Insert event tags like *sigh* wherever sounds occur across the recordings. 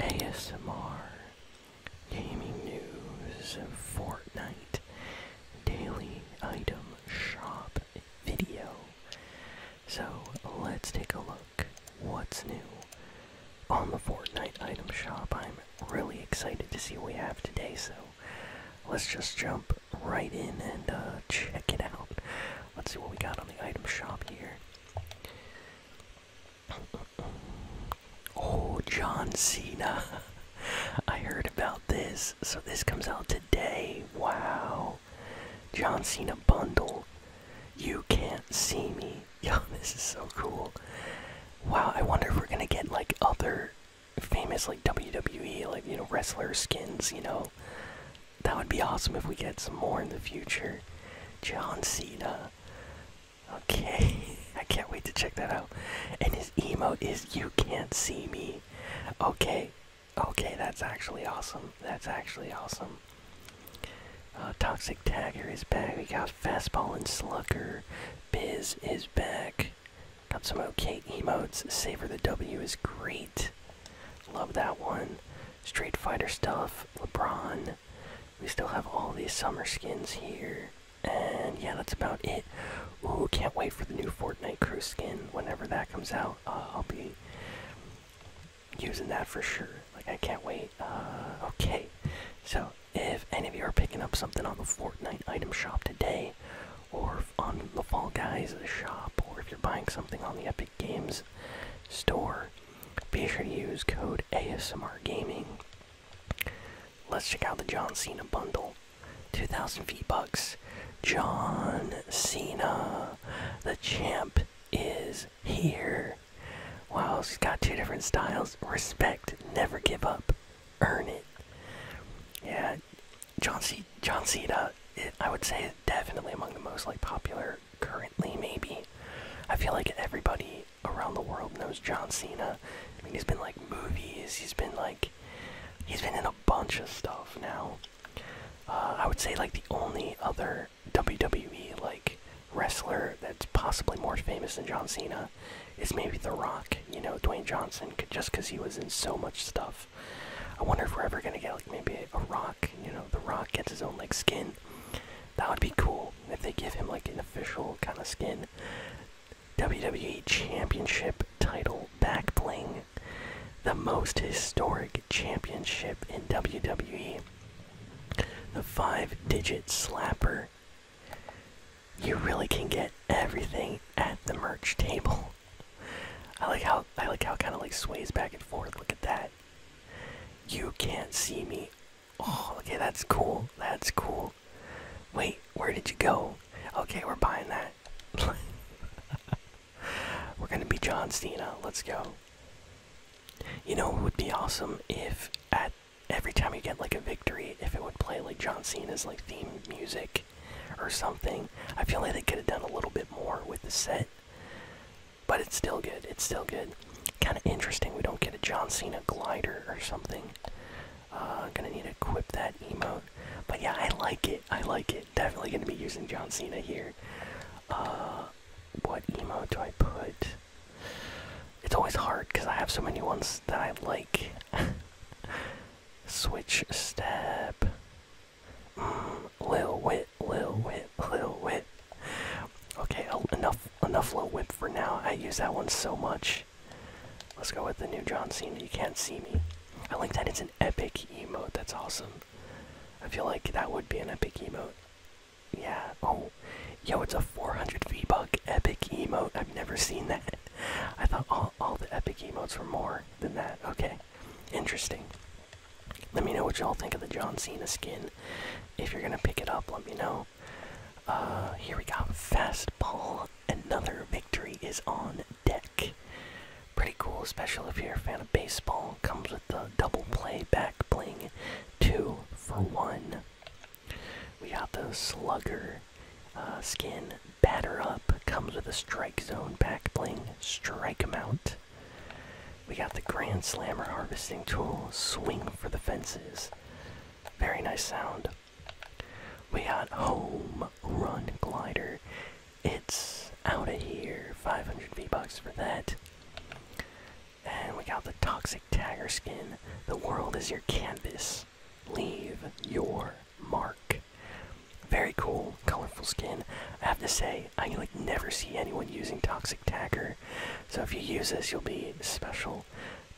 ASMR, gaming news, Fortnite, daily item shop video. So let's take a look what's new on the Fortnite item shop. I'm really excited to see what we have today, so let's just jump right in and uh, check it out. Let's see what we got on the item shop here. Oh, John Cena. *laughs* I heard about this. So this comes out today. Wow. John Cena bundle. You can't see me. *laughs* Yo, this is so cool. Wow, I wonder if we're gonna get like other famous like WWE like you know wrestler skins, you know that would be awesome if we get some more in the future. John Cena. Okay, *laughs* I can't wait to check that out. And his emo is You Can't See Me. Okay, okay, that's actually awesome. That's actually awesome. Uh, Toxic Tagger is back. We got Fastball and Slugger. Biz is back. Got some okay emotes. Savor the W is great. Love that one. Street Fighter stuff, LeBron. We still have all these summer skins here. And yeah, that's about it. Ooh, can't wait for the new Fortnite crew skin. Whenever that comes out, uh, I'll be using that for sure. Like, I can't wait. Uh, okay, so if any of you are picking up something on the Fortnite item shop today, or on the Fall Guys shop, or if you're buying something on the Epic Games store. Be sure to use code ASMR Gaming. Let's check out the John Cena bundle. 2,000 V bucks. John Cena, the champ, is here. Wow, she's got two different styles. Respect, never give up, earn it. Yeah, John C. John Cena. I would say definitely among the most like popular currently, maybe. I feel like everybody around the world knows John Cena. I mean, he's been like movies, he's been like. He's been in a bunch of stuff now. Uh, I would say like the only other WWE like wrestler that's possibly more famous than John Cena is maybe The Rock. You know, Dwayne Johnson, just because he was in so much stuff. I wonder if we're ever gonna get like maybe a rock. You know, the rock gets his own like skin. That would be cool if they give him like an official kind of skin. WWE Championship title back bling. The most historic championship in WWE. The five digit slapper. You really can get everything at the merch table. I like how I like how it kind of like sways back and forth. Look at that. You can't see me. Oh, okay, that's cool. That's cool. Wait, where did you go? Okay, we're buying that. *laughs* we're gonna be John Cena. Let's go. You know, it would be awesome if at every time you get like a victory, if it would play like John Cena's like theme music, or something. I feel like they could have done a little bit more with the set, but it's still good. It's still good. Kind of interesting. We don't get a John Cena glider or something. Uh, gonna need to equip that emote. But yeah, I like it. I like it. Definitely gonna be using John Cena here. Uh, what emo do I put? It's always hard because I have so many ones that I like. *laughs* Switch step. Uh, Lil Whip, Lil Whip, Lil Whip. Okay, enough, enough Lil Whip for now. I use that one so much. Let's go with the new John scene. You can't see me. I like that it's an epic emote. That's awesome. I feel like that would be an epic emote. Yeah. Oh, yo, it's a 400 V-Buck epic emote. I've never seen that. I thought all, all the epic emotes were more than that. Okay interesting. Let me know what y'all think of the John Cena skin. If you're gonna pick it up, let me know. Uh, here we got fastball. Another victory is on deck. Pretty cool, especially if you're a fan of baseball. Comes with the double play back bling, two for one. We got the slugger uh, skin. Batter Up comes with a Strike Zone back bling. Strike him out. We got the Grand Slammer harvesting tool. Swing for the fences. Very nice sound. We got Home Run Glider. It's out of here. 500 V-Bucks for that. And we got the Toxic Tagger skin. The world is your canvas leave your mark. Very cool, colorful skin. I have to say, I like never see anyone using Toxic Tagger. So if you use this, you'll be special.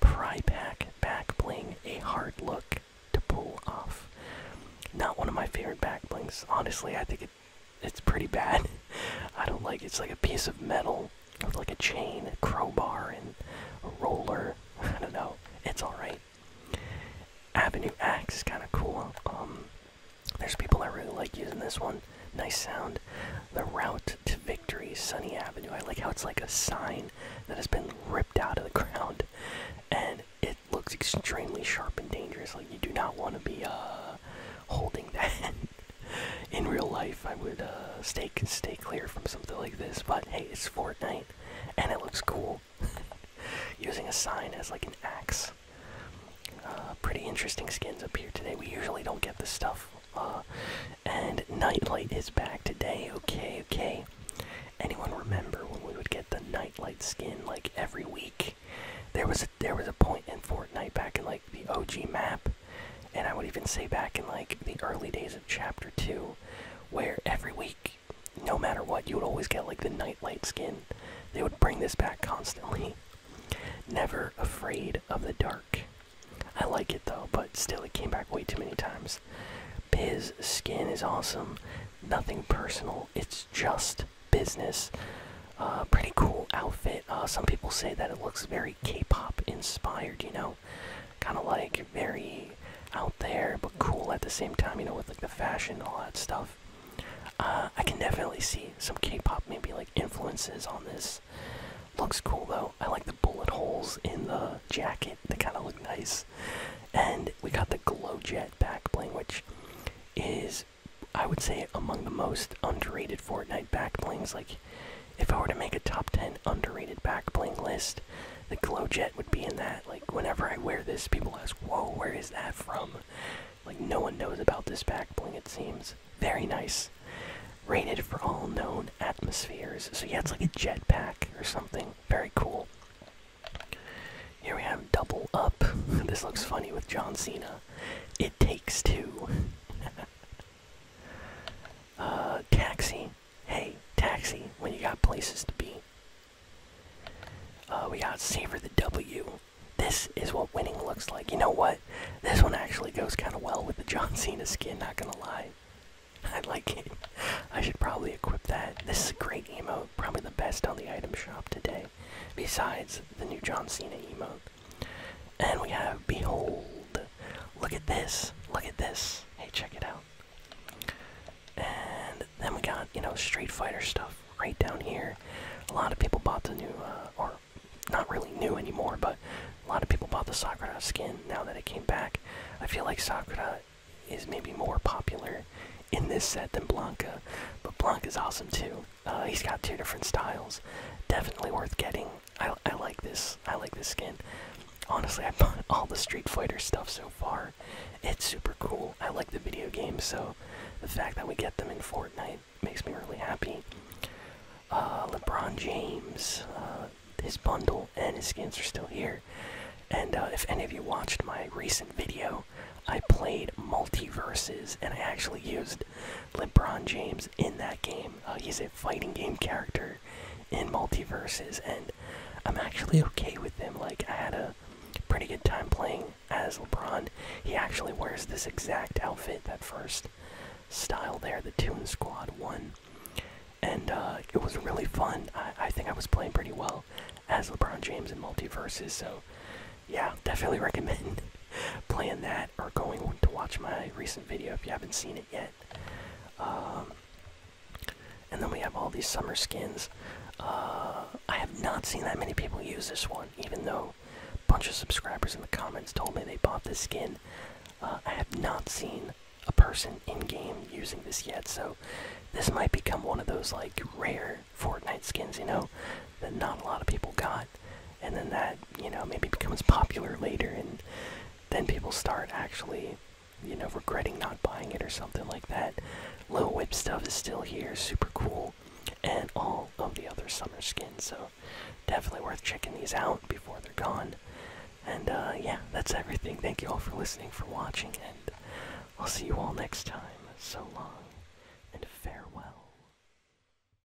Pry pack back bling, a hard look to pull off. Not one of my favorite back blings. Honestly, I think it's pretty bad. *laughs* I don't like It's like a piece of metal with like a chain, a crowbar, and a roller. *laughs* I don't know. It's alright. Avenue X, is kind of cool. Um, there's people I really like using this one. Nice sound. The route to victory, Sunny Avenue. I like how it's like a sign that has been ripped out of the *laughs* ground, and it looks extremely sharp and dangerous. Like you do not want to be uh, holding *laughs* that. In real life, I would uh, stay stay clear from something like this. But hey, it's Fortnite, and it looks cool. *laughs* using a sign as like an axe. Uh, pretty interesting skins up here today. We usually don't get this stuff. Uh, and Nightlight is back today. Okay, okay. Anyone remember when we would get the Nightlight skin like every week? There was there was a point in Fortnite back in like the OG map, and I would even say back in like the early days of Chapter Two, where every week no matter what, you would always get like the nightlight skin. They would bring this back constantly. *laughs* Never afraid of the dark. I like it though, but still, it came back way too many times. Biz skin is awesome. Nothing personal. It's just business. Uh, pretty cool outfit. Uh, some people say that it looks very K-pop inspired. You know, kind of like very out there but cool at the same time. You know, with like the fashion, and all that stuff. Uh, I can definitely see some K-pop maybe like influences on this. Looks cool though. I like the bullet holes in the jacket. They kind of look nice. And we got the glow jet back backbling, which is, I would say, among the most underrated Fortnite back backblings. Like, if I were to make a top 10 underrated back bling list, the glow jet would be in that. Like, whenever I wear this, people ask, Whoa, where is that from? Like, no one knows about this back bling, it seems. Very nice. Rated for all known atmospheres. So, yeah, it's like a jet pack or something. Very cool. Here we have Double Up. *laughs* this looks funny with John Cena. It takes two. *laughs* uh, taxi. Hey, taxi when you got places to be. Uh, we got saver the W. This is what winning looks like. You know what? This one actually goes kind of well with the John Cena skin, not gonna lie. *laughs* I like it. I should probably equip that. This is a great emo. probably the best on the item shop today, besides the new John Cena emo. And we have Behold. Look at this. Look at this. Hey, check it out. And then we got, you know, Street Fighter stuff right down here. A lot of people bought the new, uh, or not really new anymore, but a lot of people bought the Sakura skin now that it came back. I feel like Sakura is maybe more popular in this set than Blanca, but Blanca is awesome too. Uh, he's got two different styles. Definitely worth getting. I, I like this. I like this skin. Honestly, I bought *laughs* all the Street Fighter stuff so far. It's super cool. I like the video games, so the fact that we get them in Fortnite makes me really happy. Uh, LeBron James, uh, his bundle and his skins are still here. And uh, if any of you watched my recent video, I played multiverses and I actually used LeBron James in that game. Uh, he's a fighting game character in multiverses, and I'm actually okay with him. Like I had a pretty good time playing as LeBron. He actually wears this exact outfit, that first style there, the Toon Squad one, and uh, it was really fun. I, I think I was playing pretty well as LeBron James in multiverses, so yeah, definitely *laughs* recommend playing that or going to watch my recent video if you haven't seen it yet. Um, and then we have all these summer skins. Uh, I have not seen that many people use this one, even though a bunch of subscribers in the comments told me they bought this skin. Uh, I have not seen a person in game using this yet, so this might become one of those like rare Fortnite skins, you know, that not a lot of people got and then that you know maybe becomes popular later and then people start actually you know regretting not buying it or something like that Lil whip stuff is still here super cool and all of the other summer skins so definitely worth checking these out before they're gone and uh, yeah that's everything thank you all for listening for watching and i'll see you all next time so long and farewell